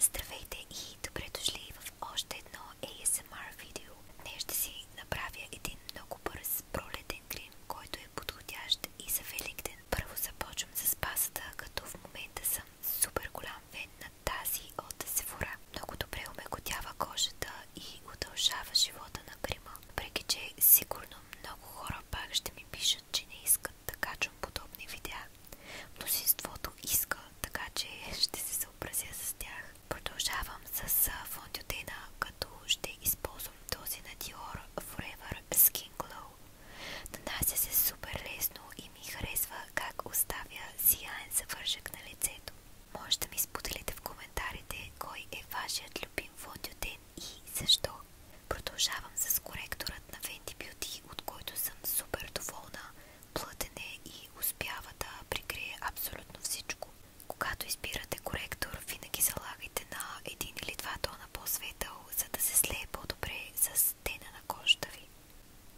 Здравейте и добре дошли в още едно ASMR видео. Днес ще си направя един много бърз пролетен крем, който е подходящ и за Великден. Първо започвам с пасата, като в момента съм супер голям фен на тази от Sephora. Много добре омекотява кожата и удължава живота на крема. Въпреки че сигурно много хора пак ще ми пишат, че не искат да качвам подобни видеа, Мнозинството иска, така че ще се съобразя с тях. Продължавам с фондютена, като ще използвам този на Dior Forever Skin Glow. Нанася се супер лесно и ми харесва как оставя сияен завършък на лицето. Може да ми споделите в коментарите кой е вашият любим фондютен и защо. Продължавам с коректорът на Fenty Beauty, от който съм супер доволна плътене и успява да прикрие абсолютно всичко. Когато избирате коректор, винаги залагайте на един или два тона по-светъл, за да се слее по-добре с тена на кожата ви.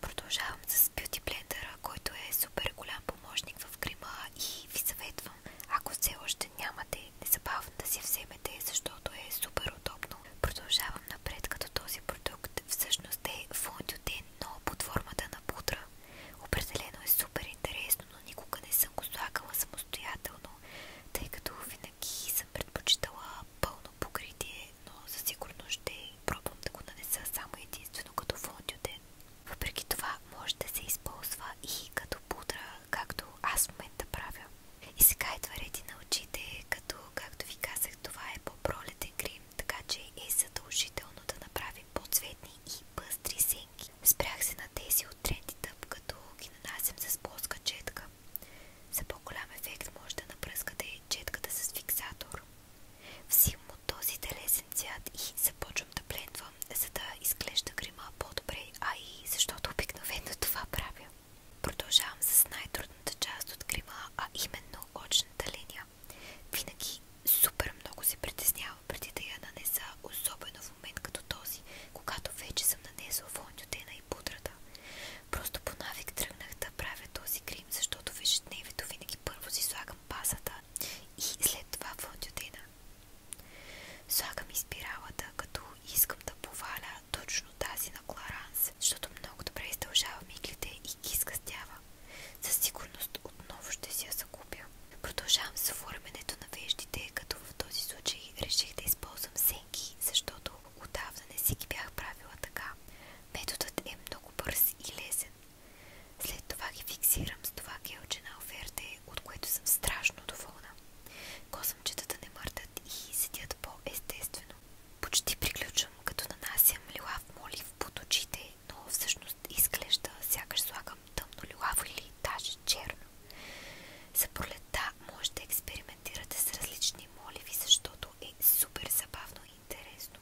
Продължавам с бюти блендера, който е супер голям помощник в грима и ви съветвам, ако все още нямате, незабавно да си вземете, защото е супер удобно. Продължавам напред, като този продукт продукт всъщност е фондютен, но под формата на пудра. Определено е супер но никога не съм го слагала самостоятелно, тъй като винаги съм предпочитала пълно покритие, но със сигурност ще пробвам да го нанеса само единствено като фондютен. Въпреки това може да се използва и като пудра, както аз момента правя. И сега идва реди на очите, като, както ви казах, това е по-пролетен така че е задължително да направим по-цветни и пъстри сенки. Спрях се на тези от трендите, като ги нанасям с плоска четка. За по-голям ефект може да напръскате четката с фиксатор. Взимам този телесен цвят и започвам да плендвам, за да изглежда грима по-добре, а и защото обикновено това правя. Продължавам с най-трудната част от крила, а именно очната линия. Винаги супер много се притеснявам преди да я нанеса, особено в момент като този, когато вече съм нанесла фондютена и пудрата. Просто по тръгнах да правя този крим, защото в винаги първо си слагам пасата и след това фондютена. Слагам и като искам да поваля пара точно тази на Кларанс, защото много добре издължава миглите и ги изгъстява. Със сигурност отново ще си я закупя. Продължавам с оформянето на веждите, като в този случай реших да използвам сенки, защото отдавна не си ги бях правила така. Методът е много бърз и лесен. След това ги фиксирам с това гелче на оферте, от което съм страшно доволна. Косъмчетата не мъртат и седят по-естествено. Почти приключвам, като нанасям лилав молив под очите, но всъщност изглежда, сякаш слагам тъмно лилаво или даже черно. За пролетта може да експериментирате с различни моливи, защото е супер забавно и интересно.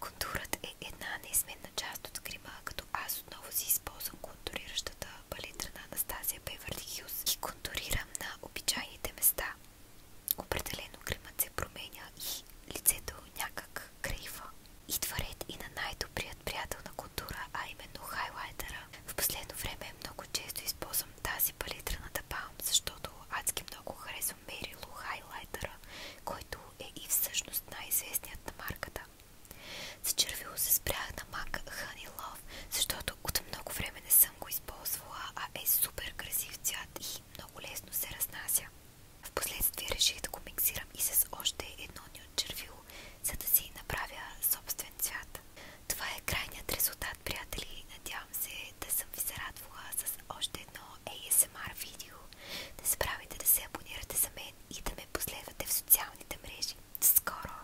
Контурът е една неизменна част от грима, като аз отново си използвам контуриращата палитра на Анастасия Бейвърли Хюс и контурирам на обичайните места. Определено гримът се променя и лицето някак крива. Идва ред и на най-добрият приятел на култура, а именно хайлайтера. В последно време много често използвам тази палитра на Дабаум, защото адски много харесвам мерило хайлайтера, който е и всъщност най-известният на марката. Зачервило се спрях на мак Honey Love, защото от много време не съм го използвала, а е супер красив цвят и много лесно се разнася. Впоследствие реших да го миксирам и с още едно ни от червило, за да си направя собствен цвят. Това е крайният резултат, приятели. Надявам се да съм ви зарадвала с още едно ASMR видео. Не забравяйте да се абонирате за мен и да ме последвате в социалните мрежи. Скоро!